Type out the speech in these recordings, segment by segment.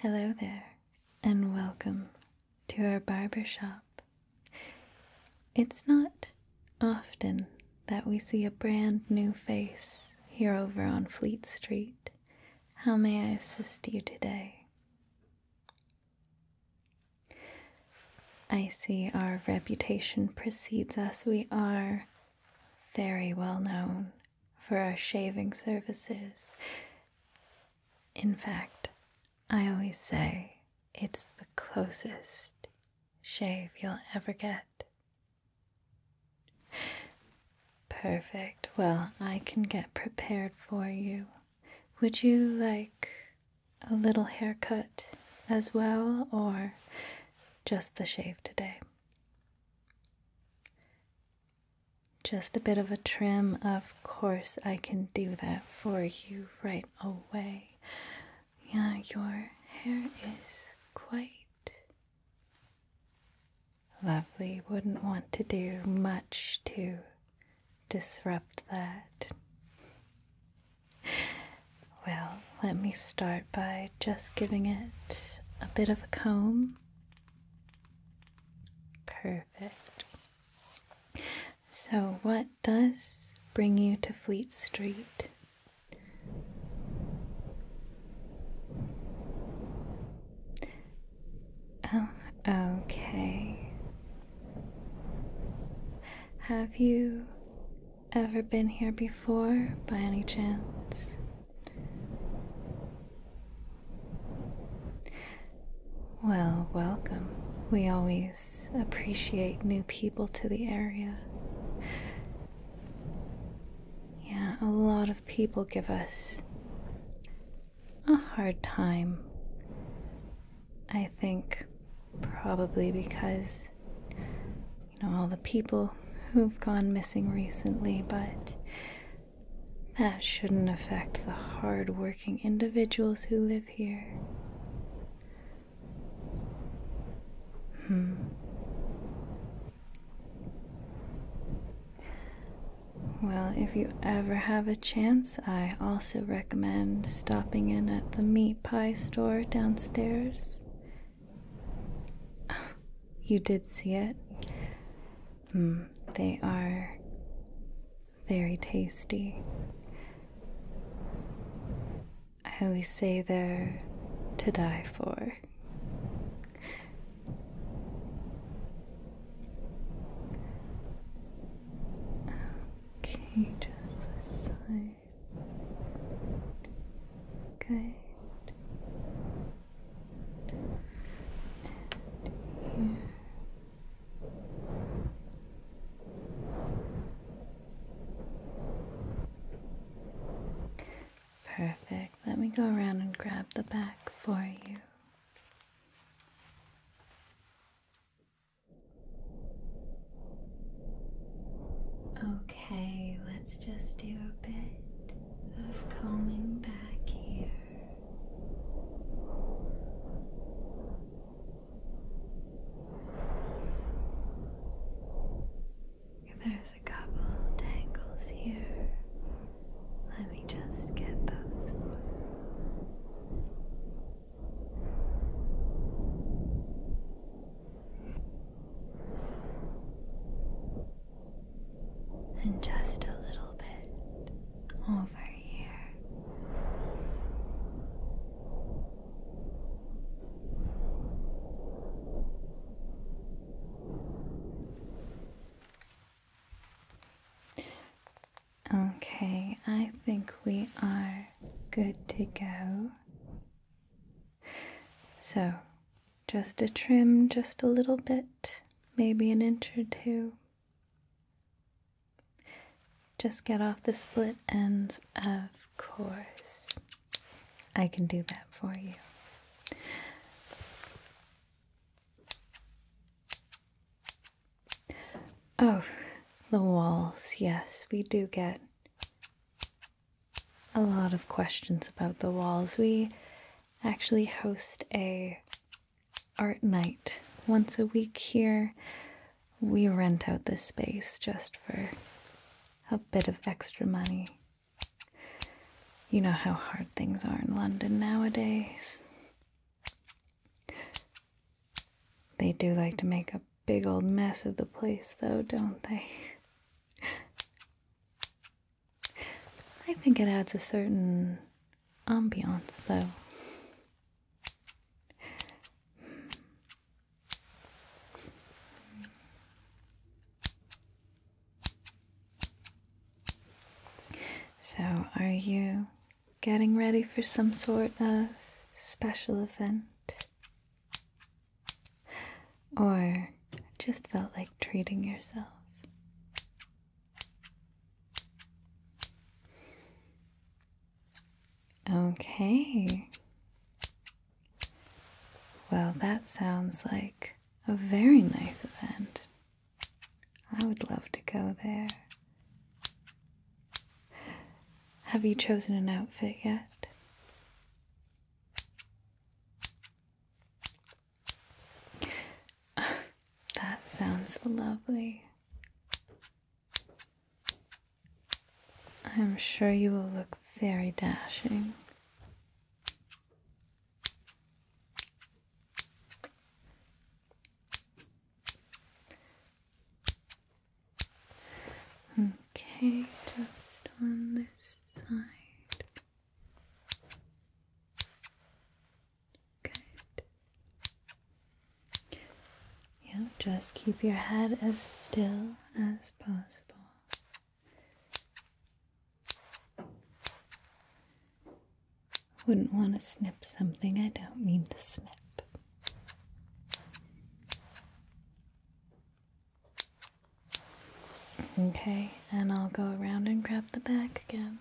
Hello there, and welcome to our barber shop. It's not often that we see a brand new face here over on Fleet Street. How may I assist you today? I see our reputation precedes us. We are very well known for our shaving services. In fact, I always say it's the closest shave you'll ever get. Perfect. Well, I can get prepared for you. Would you like a little haircut as well, or just the shave today? Just a bit of a trim, of course, I can do that for you right away. Yeah, your hair is quite lovely. Wouldn't want to do much to disrupt that. Well, let me start by just giving it a bit of a comb. Perfect. So, what does bring you to Fleet Street? Oh, okay. Have you ever been here before by any chance? Well, welcome. We always appreciate new people to the area. Yeah, a lot of people give us a hard time. I think probably because you know, all the people who've gone missing recently, but that shouldn't affect the hard working individuals who live here. Hmm. Well, if you ever have a chance, I also recommend stopping in at the meat pie store downstairs. you did see it? Hmm, they are very tasty. I always say they're to die for. Okay, just this side. Good. here. Perfect. Let me go around and grab the back for you. Okay, let's just do a bit of combing back here. There's a couple tangles here. Let me just get those more and just a little bit over here. Okay, I think we are good to go. So, just a trim, just a little bit, maybe an inch or two. Just get off the split ends, of course. I can do that for you. Oh, the walls. Yes, we do get a lot of questions about the walls. We actually host a art night once a week here. We rent out this space just for a bit of extra money. You know how hard things are in London nowadays. They do like to make a big old mess of the place, though, don't they? I think it adds a certain ambiance, though. So, are you getting ready for some sort of special event? Or just felt like treating yourself. Okay. Well, that sounds like a very nice event. I would love to go there. Have you chosen an outfit yet? that sounds lovely. I'm sure you will look very dashing. Okay, just on this side. Good. Yeah, just keep your head as still as possible. Wouldn't want to snip something I don't mean to snip. Okay, and I'll go around and grab the back again.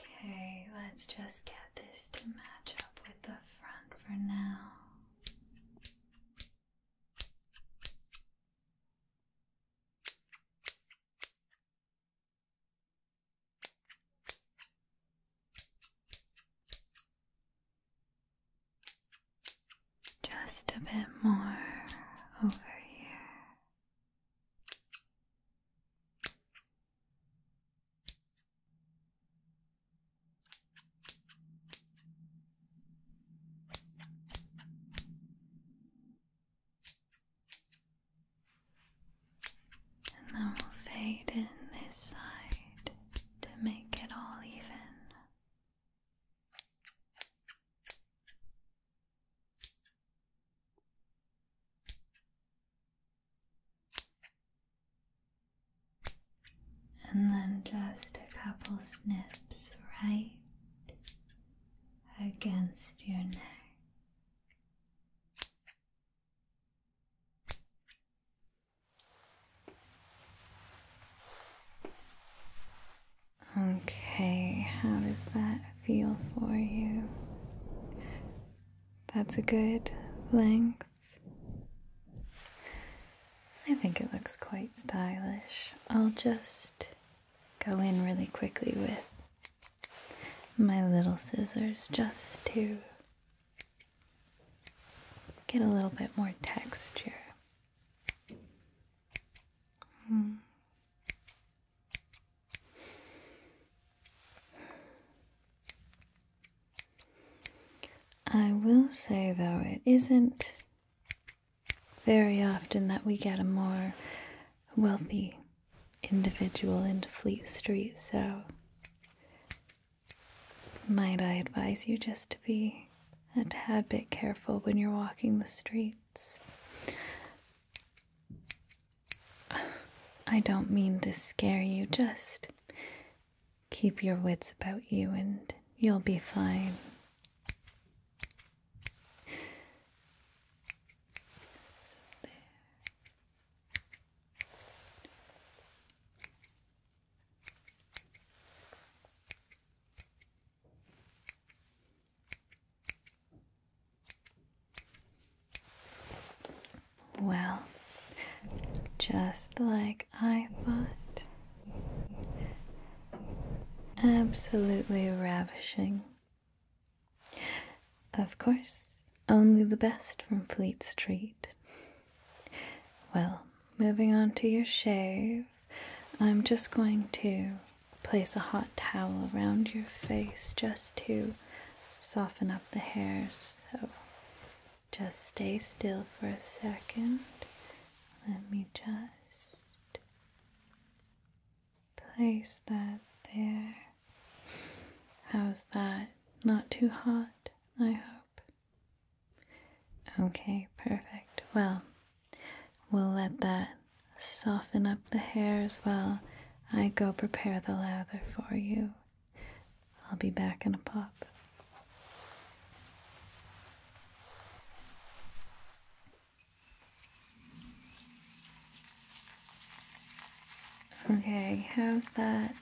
Okay, let's just get this to match up with the front for now. Just a bit more over here. And then we'll fade in this side to make it all even. And then just a couple snips right against your neck. Okay, how does that feel for you? That's a good length. I think it looks quite stylish. I'll just go in really quickly with my little scissors just to get a little bit more texture. Hmm. I will say though, it isn't very often that we get a more wealthy individual into Fleet Street, so might I advise you just to be a tad bit careful when you're walking the streets? I don't mean to scare you, just keep your wits about you and you'll be fine. Well, just like I thought, Absolutely ravishing. Of course, only the best from Fleet Street. Well, moving on to your shave, I'm just going to place a hot towel around your face just to soften up the hair. So just stay still for a second. Let me just Place that there. How's that? Not too hot, I hope. Okay, perfect. Well, we'll let that soften up the hair as well. I go prepare the lather for you. I'll be back in a pop. Okay, how's that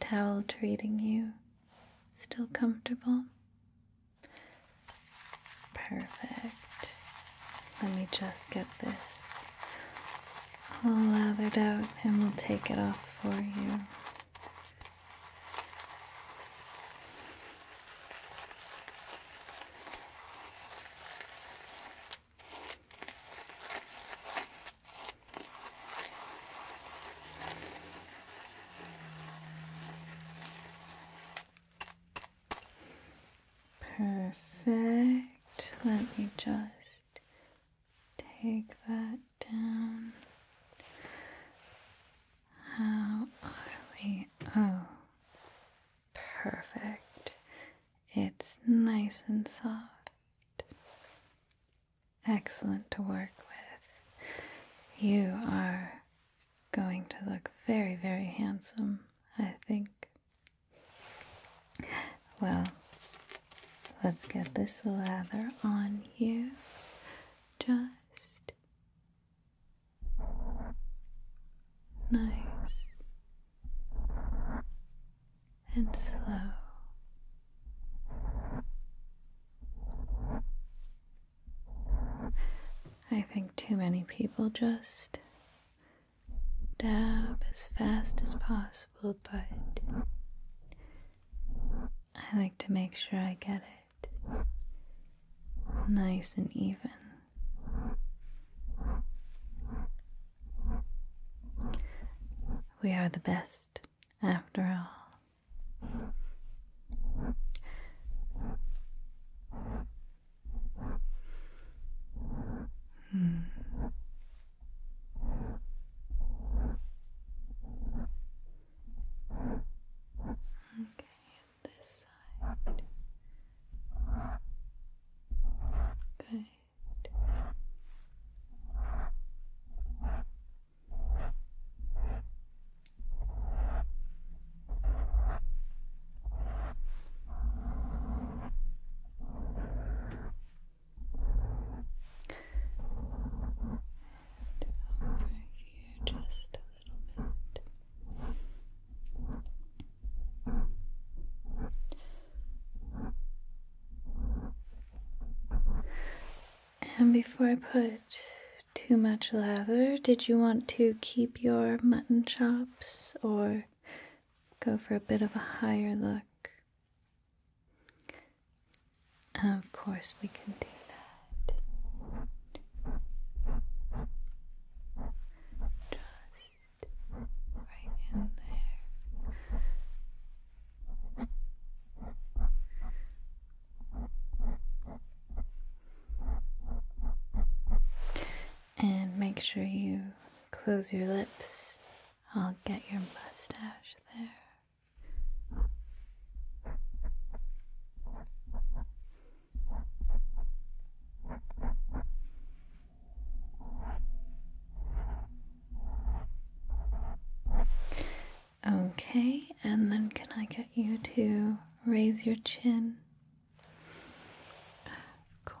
towel treating you? Still comfortable? Perfect. Let me just get this all lathered out and we'll take it off for you. Perfect. Let me just take that down. How are we? Oh, perfect. It's nice and soft. Excellent to work with. You are going to look very, very handsome, I think. Well, let's get this lather on you. Just nice and slow. I think too many people just dab as fast as possible, but I like to make sure I get it Nice and even. We are the best after all. Hmm. Okay, this side. Good over here just a little bit. And before I put too much lather, did you want to keep your mutton chops or go for a bit of a higher look? Of course, we can do that. Just right in there. And make sure you close your lips. I'll get your mustache there. Okay, and then can I get you to raise your chin? Of course.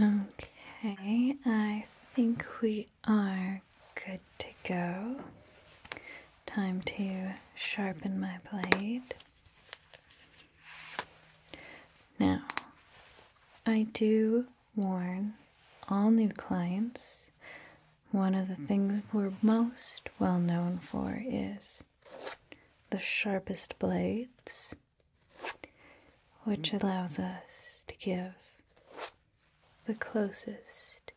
Okay, I think we are good to go. Time to sharpen my blade. Now, I do warn all new clients one of the things we're most well known for is the sharpest blades which allows us to give the closest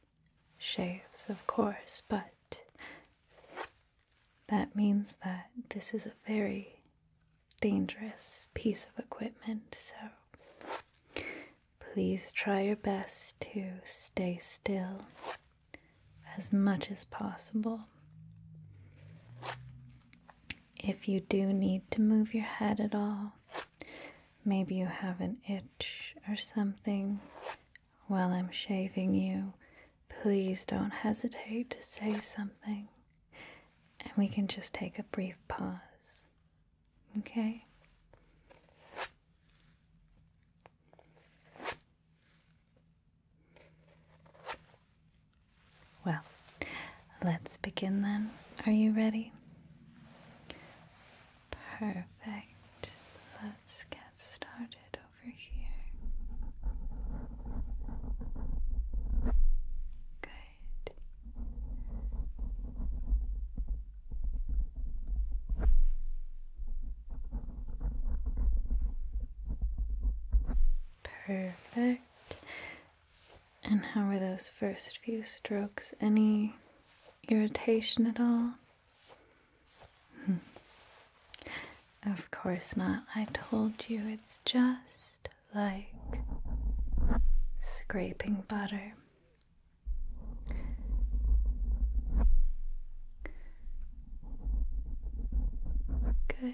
shapes, of course, but that means that this is a very dangerous piece of equipment, so please try your best to stay still as much as possible. If you do need to move your head at all, maybe you have an itch or something while I'm shaving you, please don't hesitate to say something. And we can just take a brief pause. Okay? Well, let's begin then. Are you ready? Perfect. Let's get started over here. Good. Perfect. Perfect. And how were those first few strokes? Any irritation at all? Hmm. Of course not. I told you it's just like scraping butter. Good.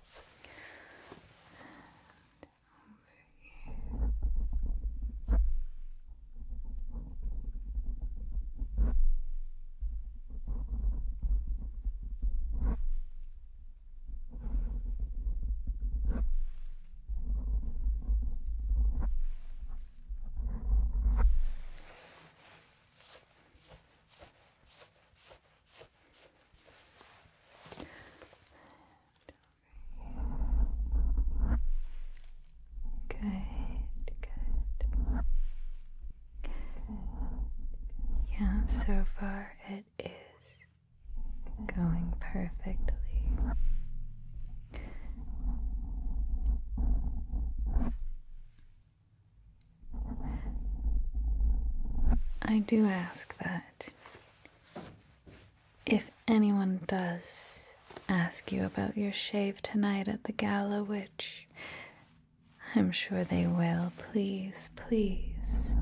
And over here. Okay. Good, Good. Yeah, so far it is going perfectly. I do ask that. If anyone does ask you about your shave tonight at the gala, which I'm sure they will, please, please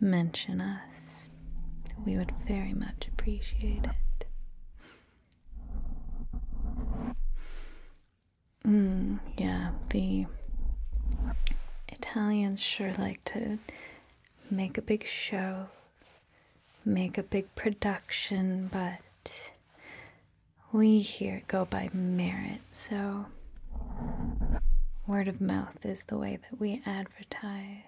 mention us. We would very much appreciate it. Mm, yeah, the Italians sure like to make a big show, make a big production, but we here go by merit, so word of mouth is the way that we advertise.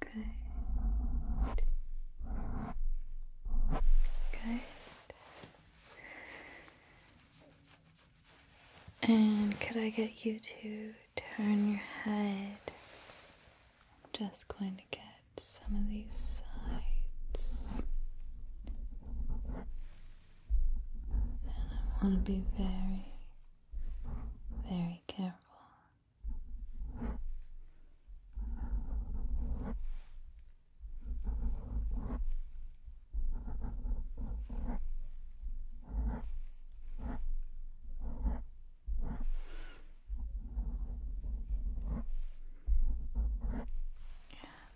Good. Good. And could I get you to turn your head? I'm just going to get some of these sides. And I want to be very, very careful and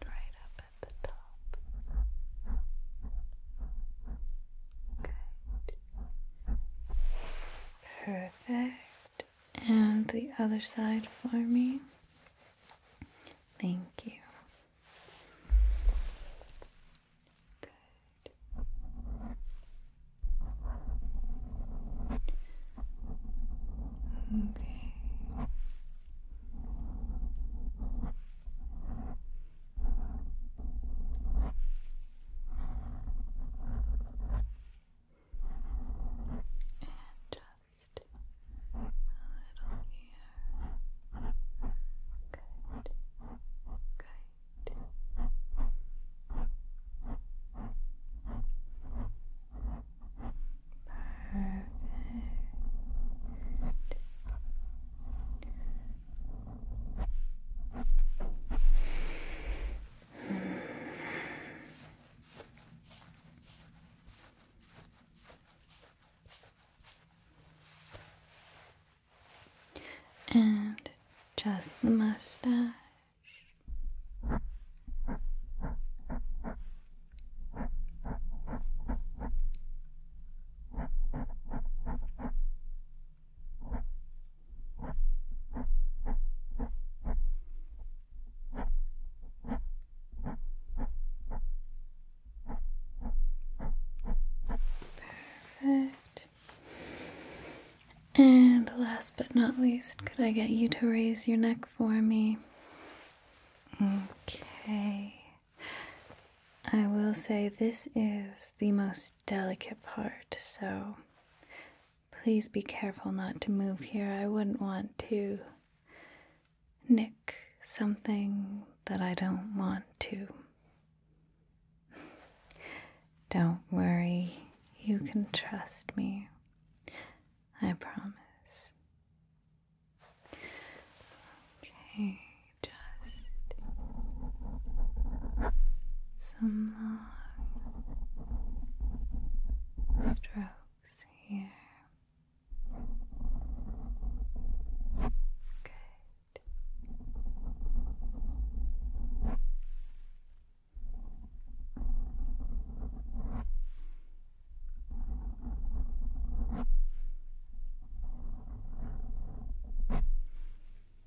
right up at the top. Good. Perfect. And the other side for me. Thank you. Good. Okay. And just a little here. Good. Good. Perfect. And just the mustache. Perfect. And last but not least, could I get you to raise your neck for me? Okay. I will say this is the most delicate part, so please be careful not to move here. I wouldn't want to nick something that I don't want to. Don't worry, you can trust me. I promise. Okay just some long strokes here. Good.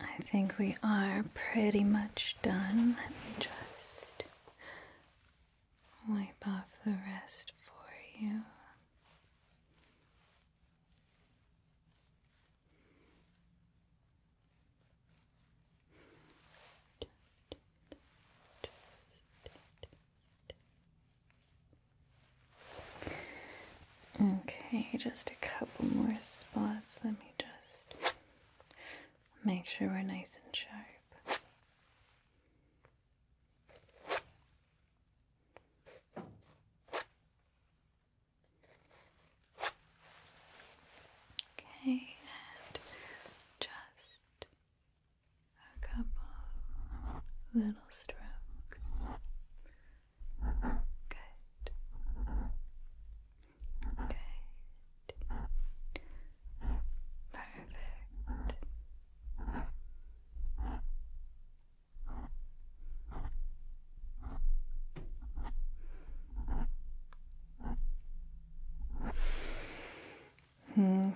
I think we are pretty much done. Let me just wipe off the rest for you. Okay, just a couple more spots. Let me just make sure we're nice and sharp. Okay, and just a couple little strokes. Good. Good. Perfect.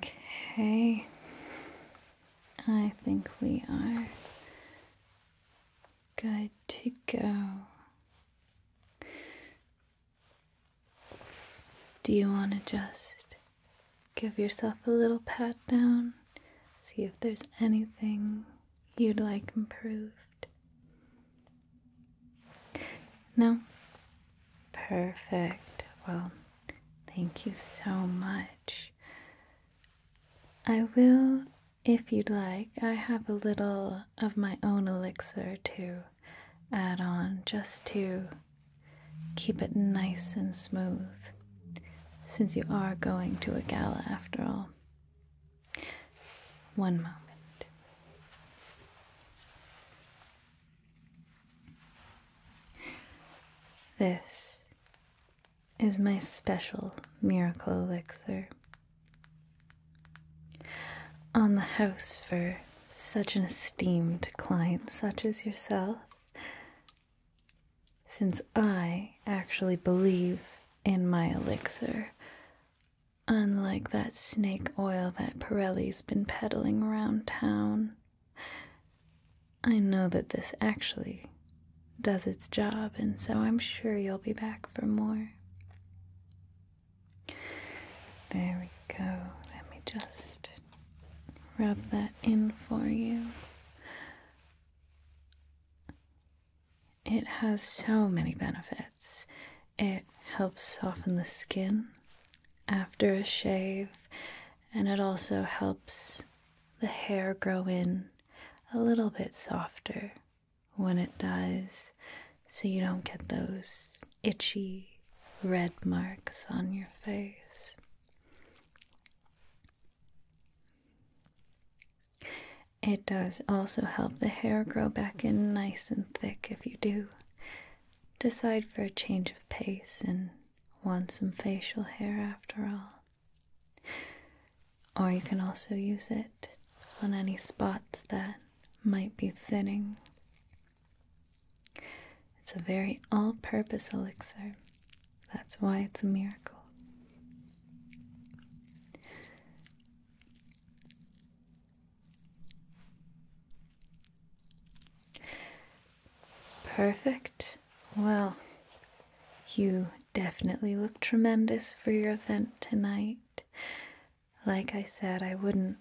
Okay, I think we are good to go. Do you want to just give yourself a little pat down? See if there's anything you'd like improved. No? Perfect. Well, thank you so much. I will if you'd like, I have a little of my own elixir to add on just to keep it nice and smooth, since you are going to a gala after all. One moment. This is my special miracle elixir. On the house for such an esteemed client, such as yourself, since I actually believe in my elixir, unlike that snake oil that Pirelli's been peddling around town. I know that this actually does its job, and so I'm sure you'll be back for more. There we go. Let me just rub that in for you. It has so many benefits. It helps soften the skin after a shave, and it also helps the hair grow in a little bit softer when it does, so you don't get those itchy red marks on your face. It does also help the hair grow back in nice and thick if you do decide for a change of pace and want some facial hair after all. Or you can also use it on any spots that might be thinning. It's a very all purpose elixir. That's why it's a miracle. Perfect. Well, you definitely look tremendous for your event tonight. Like I said, I wouldn't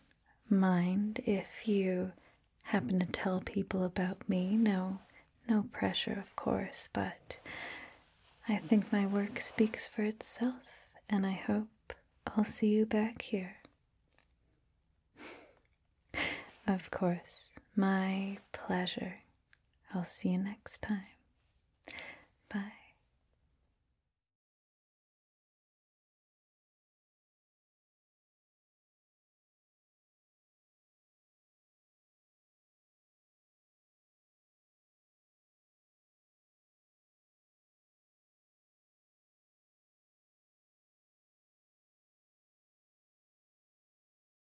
mind if you happen to tell people about me. No, no pressure, of course, but I think my work speaks for itself, and I hope I'll see you back here. of course, my pleasure. I'll see you next time. Bye.